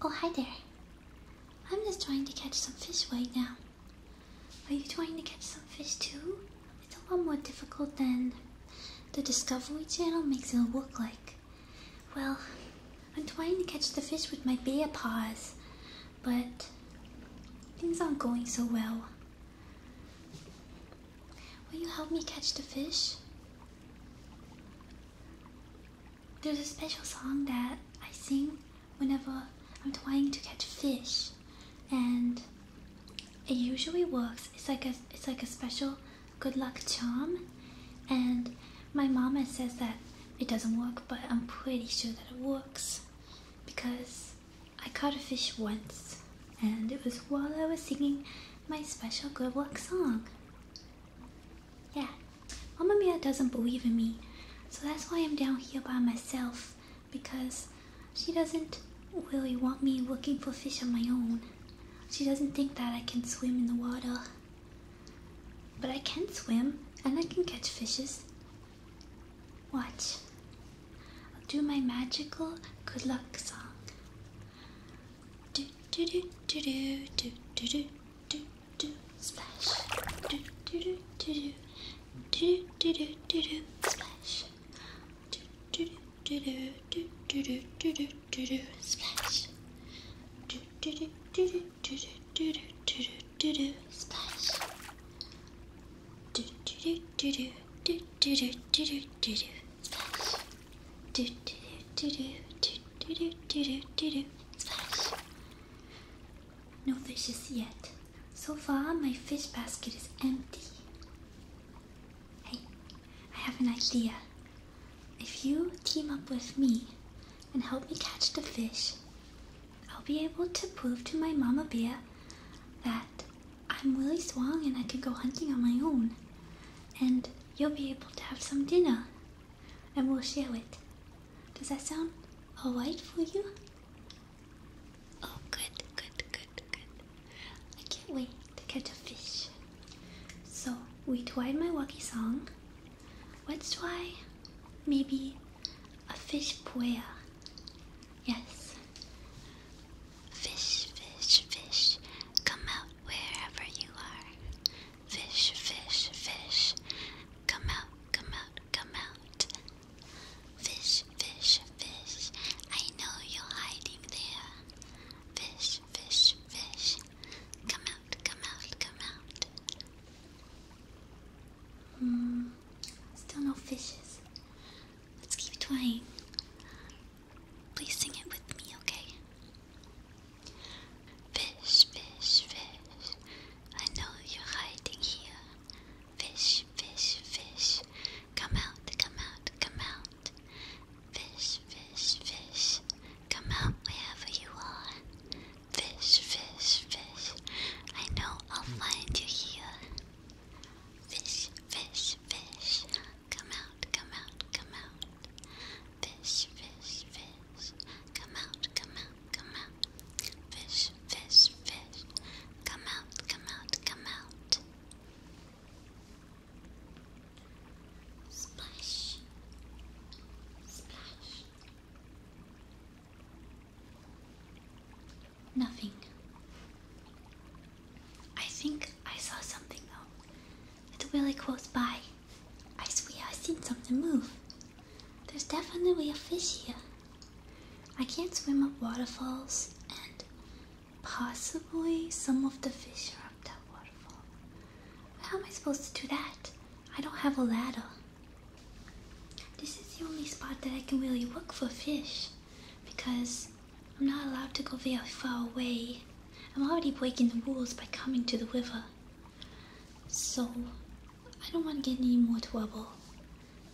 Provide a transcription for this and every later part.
Oh, hi there. I'm just trying to catch some fish right now. Are you trying to catch some fish too? It's a lot more difficult than the Discovery Channel makes it look like. Well, I'm trying to catch the fish with my bear paws, but things aren't going so well. Will you help me catch the fish? There's a special song that I sing whenever I'm trying to catch fish, and it usually works. It's like a it's like a special good luck charm, and my mama says that it doesn't work, but I'm pretty sure that it works because I caught a fish once, and it was while I was singing my special good luck song. Yeah, Mama Mia doesn't believe in me, so that's why I'm down here by myself because she doesn't really want me looking for fish on my own. She doesn't think that I can swim in the water. But I can swim and I can catch fishes. Watch. I'll do my magical good luck song. Do do do do do do do do do do splash. Do do do do do do do do do do splash. Do do do do do do do do do do do splash. Do do do do do do do do do do do splash. Do do do do do do do do do do do Splash. Do do do do do do do do do do Splash. No fishes yet. So far, my fish basket is empty. Hey, I have an idea. If you team up with me and help me catch the fish, I'll be able to prove to my mama bear that I'm really strong and I can go hunting on my own. And you'll be able to have some dinner. And we'll share it. Does that sound alright for you? Oh, good, good, good, good. I can't wait to catch a fish. So, we tried my wacky song. What's us try maybe a fish puya. Yes. Fish, fish, fish, come out wherever you are. Fish, fish, fish, come out, come out, come out. Fish, fish, fish, I know you're hiding there. Fish, fish, fish, come out, come out, come out. Hmm, still no fishes. Let's keep trying. Please sing it with me, okay? Fish, fish, fish, I know you're hiding here. Fish, fish, fish, come out, come out, come out. Fish, fish, fish, come out wherever you are. Fish, fish, fish, I know I'll find you here. Fish, fish, fish, come out, come out, come out. Fish, fish, fish. Come out, come out, come out. Fish, fish, fish. Come out, come out, come out. Splash. Splash. Nothing. I think I saw something though. It's really close by. I swear I seen something move. There's definitely a fish here. I can't swim up waterfalls, and possibly some of the fish are up that waterfall. How am I supposed to do that? I don't have a ladder. This is the only spot that I can really look for fish because I'm not allowed to go very far away. I'm already breaking the rules by coming to the river. So, I don't want to get any more trouble.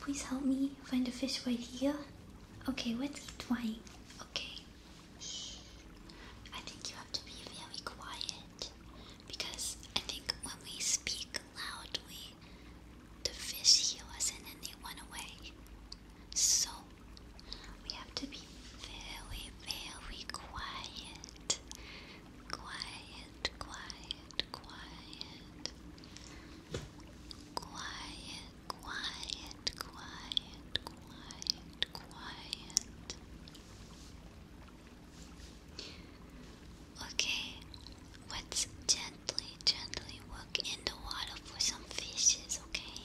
Please help me find a fish right here. Okay, let's keep trying. Okay. Shh. I think you have to be very quiet because I think when we speak loudly, the fish hear us and then they run away. So we have to be very, very quiet. Quiet, quiet, quiet. Quiet, quiet, quiet, quiet, quiet. Okay, let's gently, gently work in the water for some fishes, okay?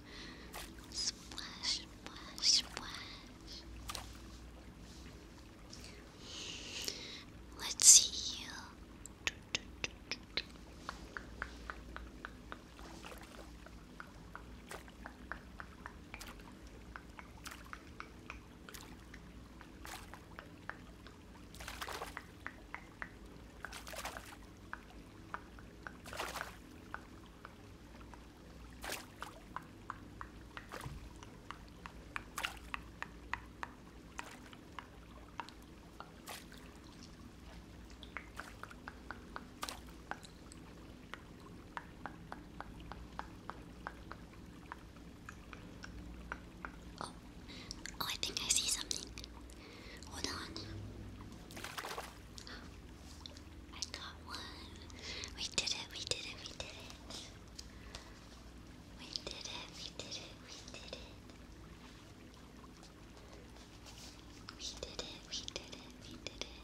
Splash, splash, splash. Let's see you. Oh, oh I think I see something. Hold on. I got one. We did it, we did it, we did it. We did it, we did it, we did it. We did it, we did it, we did it.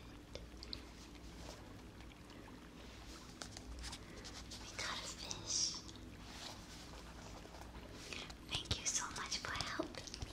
We got a fish. Thank you so much for helping me.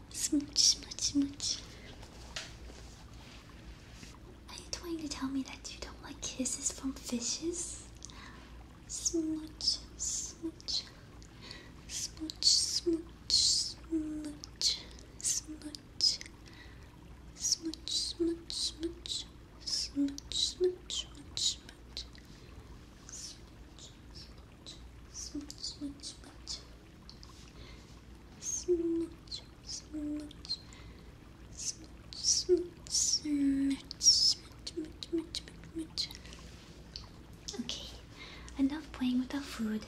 Smooch, smooch, smooch. Are you trying to tell me that you don't like kisses from fishes? Smooch, smooch. Smooch, smooch, smooch. Smooch. Smooch, smooch, smooch. Smooch, smooch, smooch, smooch. Smooch, smooch, smooch smudge, smudge, smudge, smudge, smudge, smudge, smudge, smudge, smudge, smudge, smudge. Okay, enough playing with our food.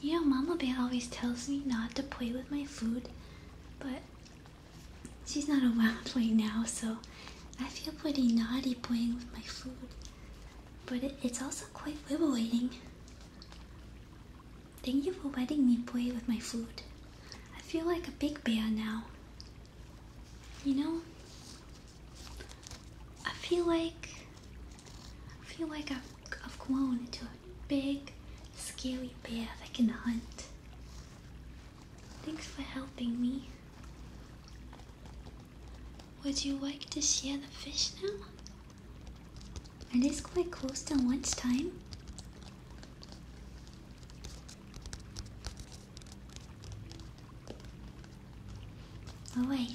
You know, Mama Bear always tells me not to play with my food, but she's not around right now, so I feel pretty naughty playing with my food but it's also quite liberating. Thank you for letting me play with my food. I feel like a big bear now. You know, I feel like I feel like I've, I've grown into a big, scary bear that can hunt. Thanks for helping me. Would you like to share the fish now? It is quite close to lunchtime. Oh, wait.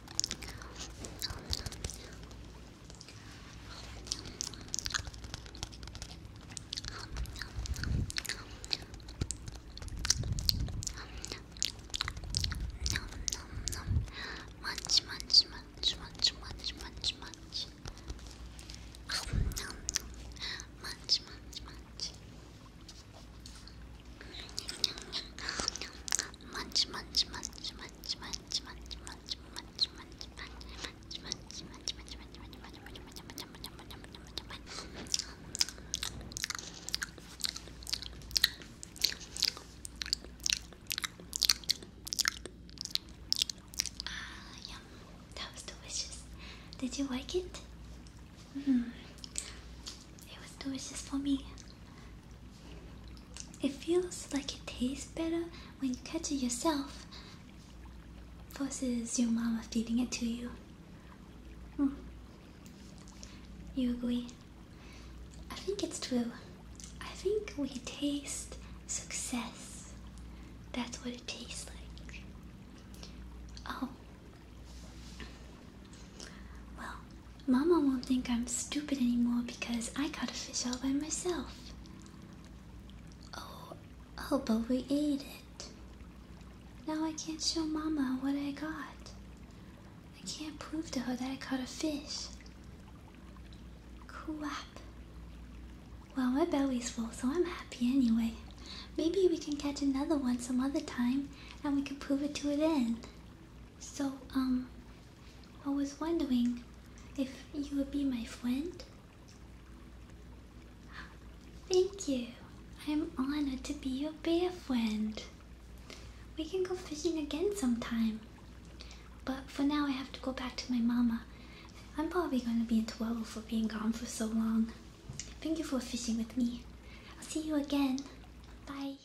Much, much, much, much, much, much, much. Um, nom, nom. Much, much, much. Much, much, much, much, much munch, munch, munch, munch, munch, munch, munch, munch, munch, munch, Ah, yum. That was delicious. Did you like it? Mm. It was delicious for me. It feels like it tastes better when you catch it yourself versus your mama feeding it to you. Hmm. You agree? I think it's true. I think we taste success. That's what it tastes like. Oh. Well, Mama won't think I'm stupid anymore because I caught a fish all by myself. Oh, oh, but we ate it. Now I can't show Mama what I got. I can't prove to her that I caught a fish. Crap. Well, my belly's full, so I'm happy anyway. Maybe we can catch another one some other time and we can prove it to her then. So, um, I was wondering if you would be my friend. Thank you. I'm honored to be your bear friend. We can go fishing again sometime. But for now, I have to go back to my mama. I'm probably going to be in trouble for being gone for so long. Thank you for fishing with me. I'll see you again. Bye.